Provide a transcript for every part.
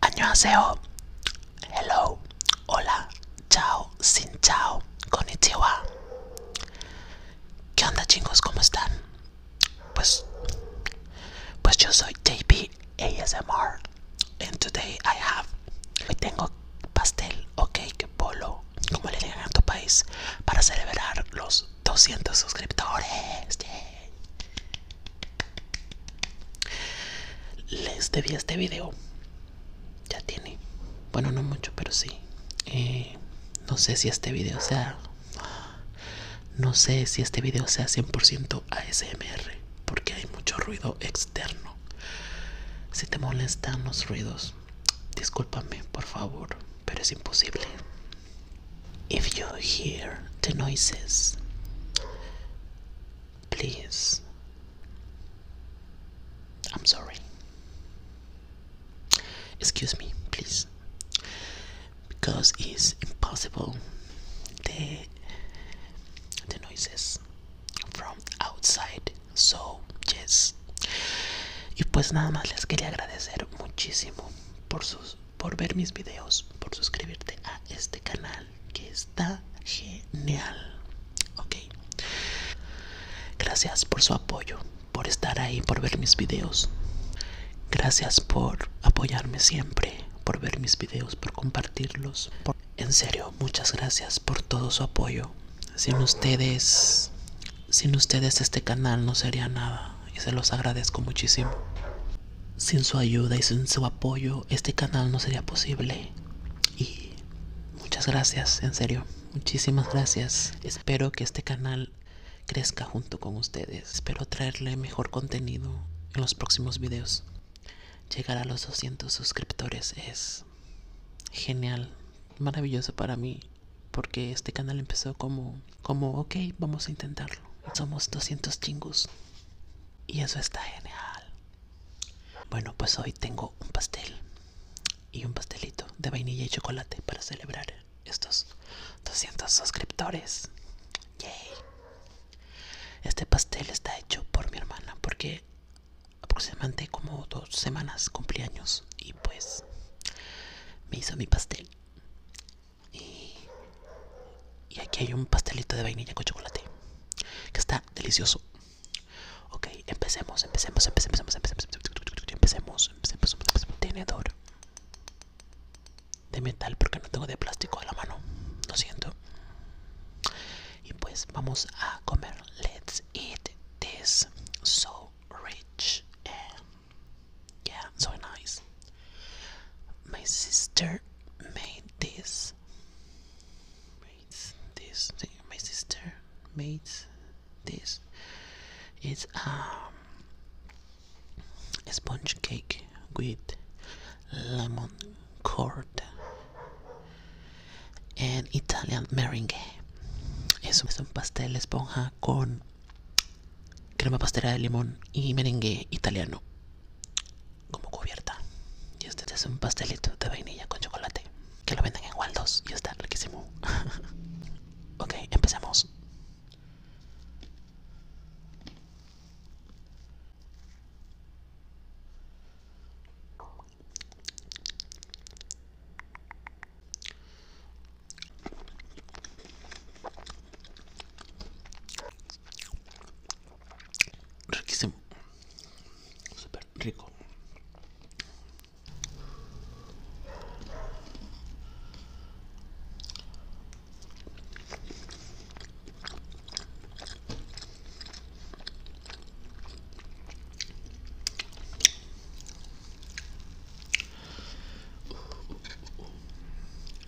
Año hello, hola, chao, sin chao, konnichiwa. ¿Qué onda chicos? ¿Cómo están? Pues, pues yo soy JP ASMR and today I have Hoy tengo pastel o cake polo como le digan en tu país para celebrar los 200 suscriptores Les debí este video Ya tiene Bueno no mucho pero sí eh, No sé si este video sea no sé si este video sea 100% ASMR, porque hay mucho ruido externo. Si te molestan los ruidos, discúlpame, por favor, pero es imposible. If you hear the noises, please. I'm sorry. Excuse me, please because es impossible the the noises from outside so yes y pues nada más les quería agradecer muchísimo por sus por ver mis videos por suscribirte a este canal que está genial ok gracias por su apoyo por estar ahí por ver mis videos Gracias por apoyarme siempre, por ver mis videos, por compartirlos. En serio, muchas gracias por todo su apoyo. Sin ustedes, sin ustedes este canal no sería nada y se los agradezco muchísimo. Sin su ayuda y sin su apoyo, este canal no sería posible. Y muchas gracias, en serio, muchísimas gracias. Espero que este canal crezca junto con ustedes. Espero traerle mejor contenido en los próximos videos. Llegar a los 200 suscriptores es genial, maravilloso para mí, porque este canal empezó como, como ok, vamos a intentarlo. Somos 200 chingos y eso está genial. Bueno, pues hoy tengo un pastel y un pastelito de vainilla y chocolate para celebrar estos 200 suscriptores. Este pastel está hecho por mi hermana porque aproximadamente como dos semanas cumpleaños y pues me hizo mi pastel. Y, aquí hay un pastelito de vainilla con chocolate que está delicioso. Ok, empecemos, empecemos, empecemos, empecemos, empecemos, empecemos, empecemos, empecemos, de metal porque no tengo de plástico a la mano lo siento y pues vamos a comer let's eat this so rich and eh, yeah so nice my sister made this made this my sister made this it's um sponge cake with lemon curd and Italian merengue. Es es un pastel esponja con crema pastelera de limón y merengue italiano como cubierta. Y este es un pastelito de vainilla con chocolate que lo venden en Waldos y está riquísimo. ok, empecemos Riquísimo. super rico.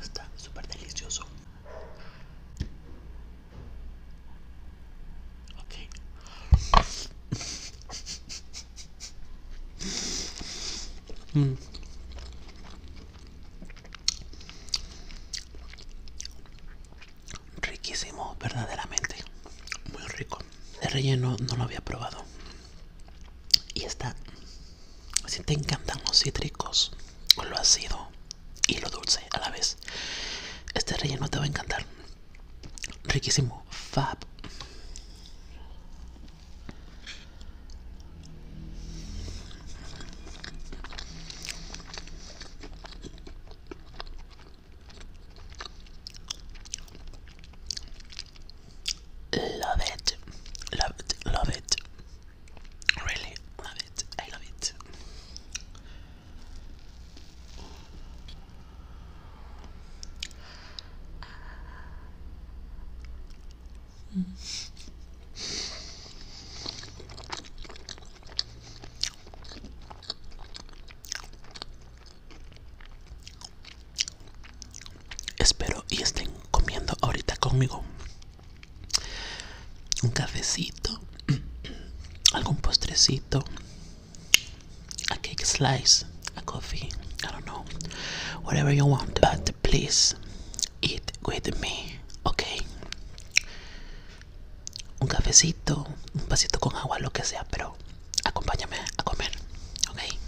Está súper delicioso. Okay. Mm. Riquísimo, verdaderamente. Muy rico. el relleno no lo había probado. Y está. Si te encantan los cítricos, con lo ácido y lo dulce a la vez, este relleno te va a encantar. Riquísimo. Fab. Love it, love it, love it. Really love it, I love it. Espero y estén comiendo ahorita conmigo un cafecito, algún postrecito, a cake slice, a coffee, I don't know, whatever you want, but please Eat with me, okay. Un cafecito, un vasito con agua, lo que sea, pero acompáñame a comer, okay.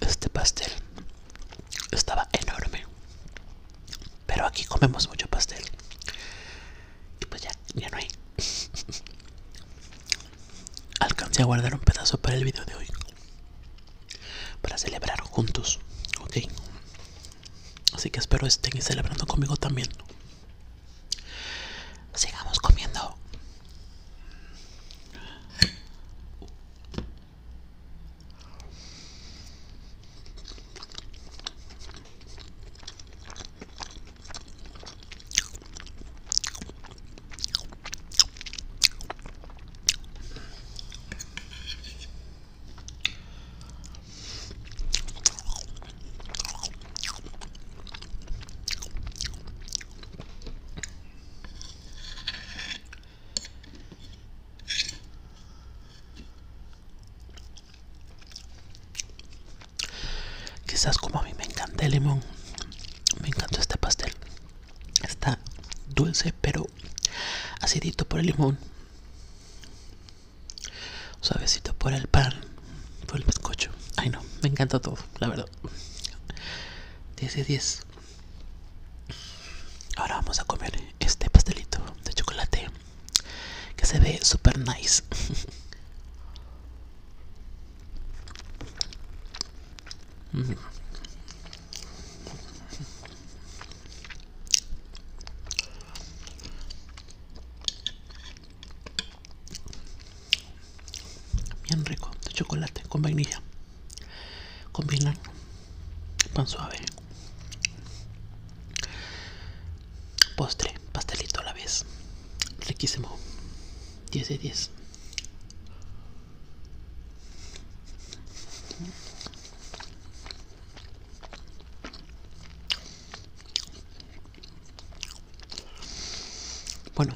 Este pastel estaba enorme, pero aquí comemos mucho pastel y pues ya, ya no hay. Alcancé a guardar un pedazo para el video de hoy, para celebrar juntos, ok. Así que espero estén celebrando conmigo también. Sigamos comiendo. Quizás como a mí me encanta el limón, me encantó este pastel. Está dulce pero acidito por el limón. Suavecito por el pan, por el bizcocho. Ay no, me encanta todo, la verdad. 10 de 10. Ahora vamos a comer este pastelito de chocolate que se ve super nice. Bien rico, de chocolate, con vainilla. Combinan pan suave. Postre, pastelito a la vez. Riquísimo. 10 de 10. Bueno,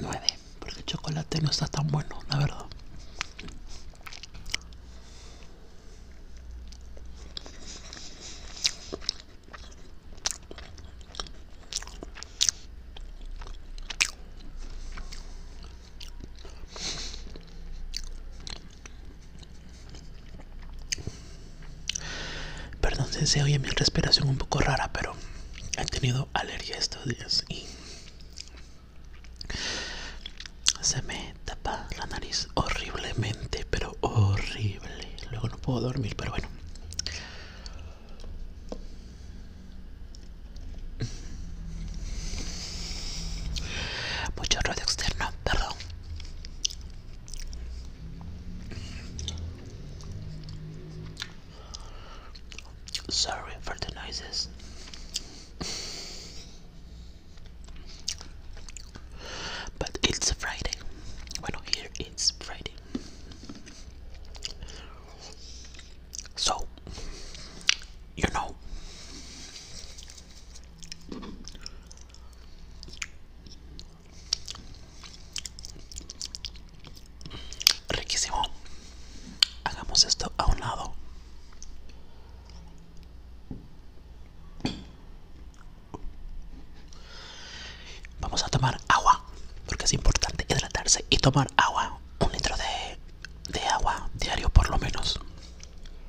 Nueve porque el chocolate no está tan bueno, la verdad. Perdón si se oye mi respiración un poco rara, pero he tenido alergia estos días y se me tapa la nariz horriblemente, pero horrible. Luego no puedo dormir, pero bueno. Mucho radio externo. that Sorry for the noises. But it's Friday. Well, here it's Friday. So, you know, Riquísimo. Hagamos esto a un lado. Vamos a tomar agua, porque es importante hidratarse y tomar agua, un litro de, de agua diario por lo menos.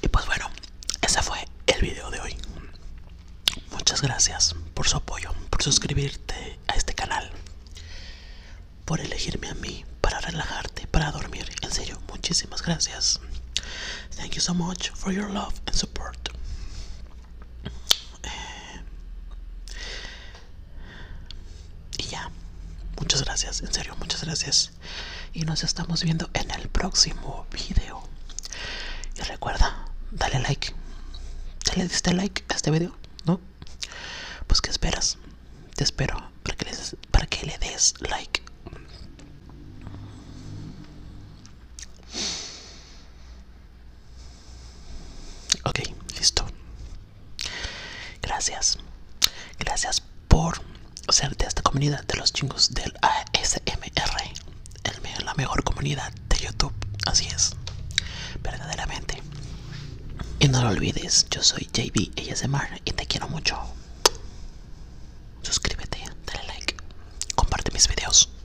Y pues bueno, ese fue el video de hoy. Muchas gracias por su apoyo, por suscribirte a este canal, por elegirme a mí para relajarte, para dormir. En serio, muchísimas gracias. Thank you so much for your love and support. Eh, y ya, muchas gracias, en serio, muchas gracias. Y nos estamos viendo en el próximo Vídeo Y recuerda, dale like. le diste like a este video, ¿no? Pues qué esperas? Te espero para que le des like. Ok, listo. Gracias. Gracias por ser de esta comunidad de los chingos del ASMR. la mejor comunidad de YouTube. Así es. Verdaderamente. Y no lo olvides, yo soy JB ASMR y te quiero mucho. Suscríbete, dale like, comparte mis videos.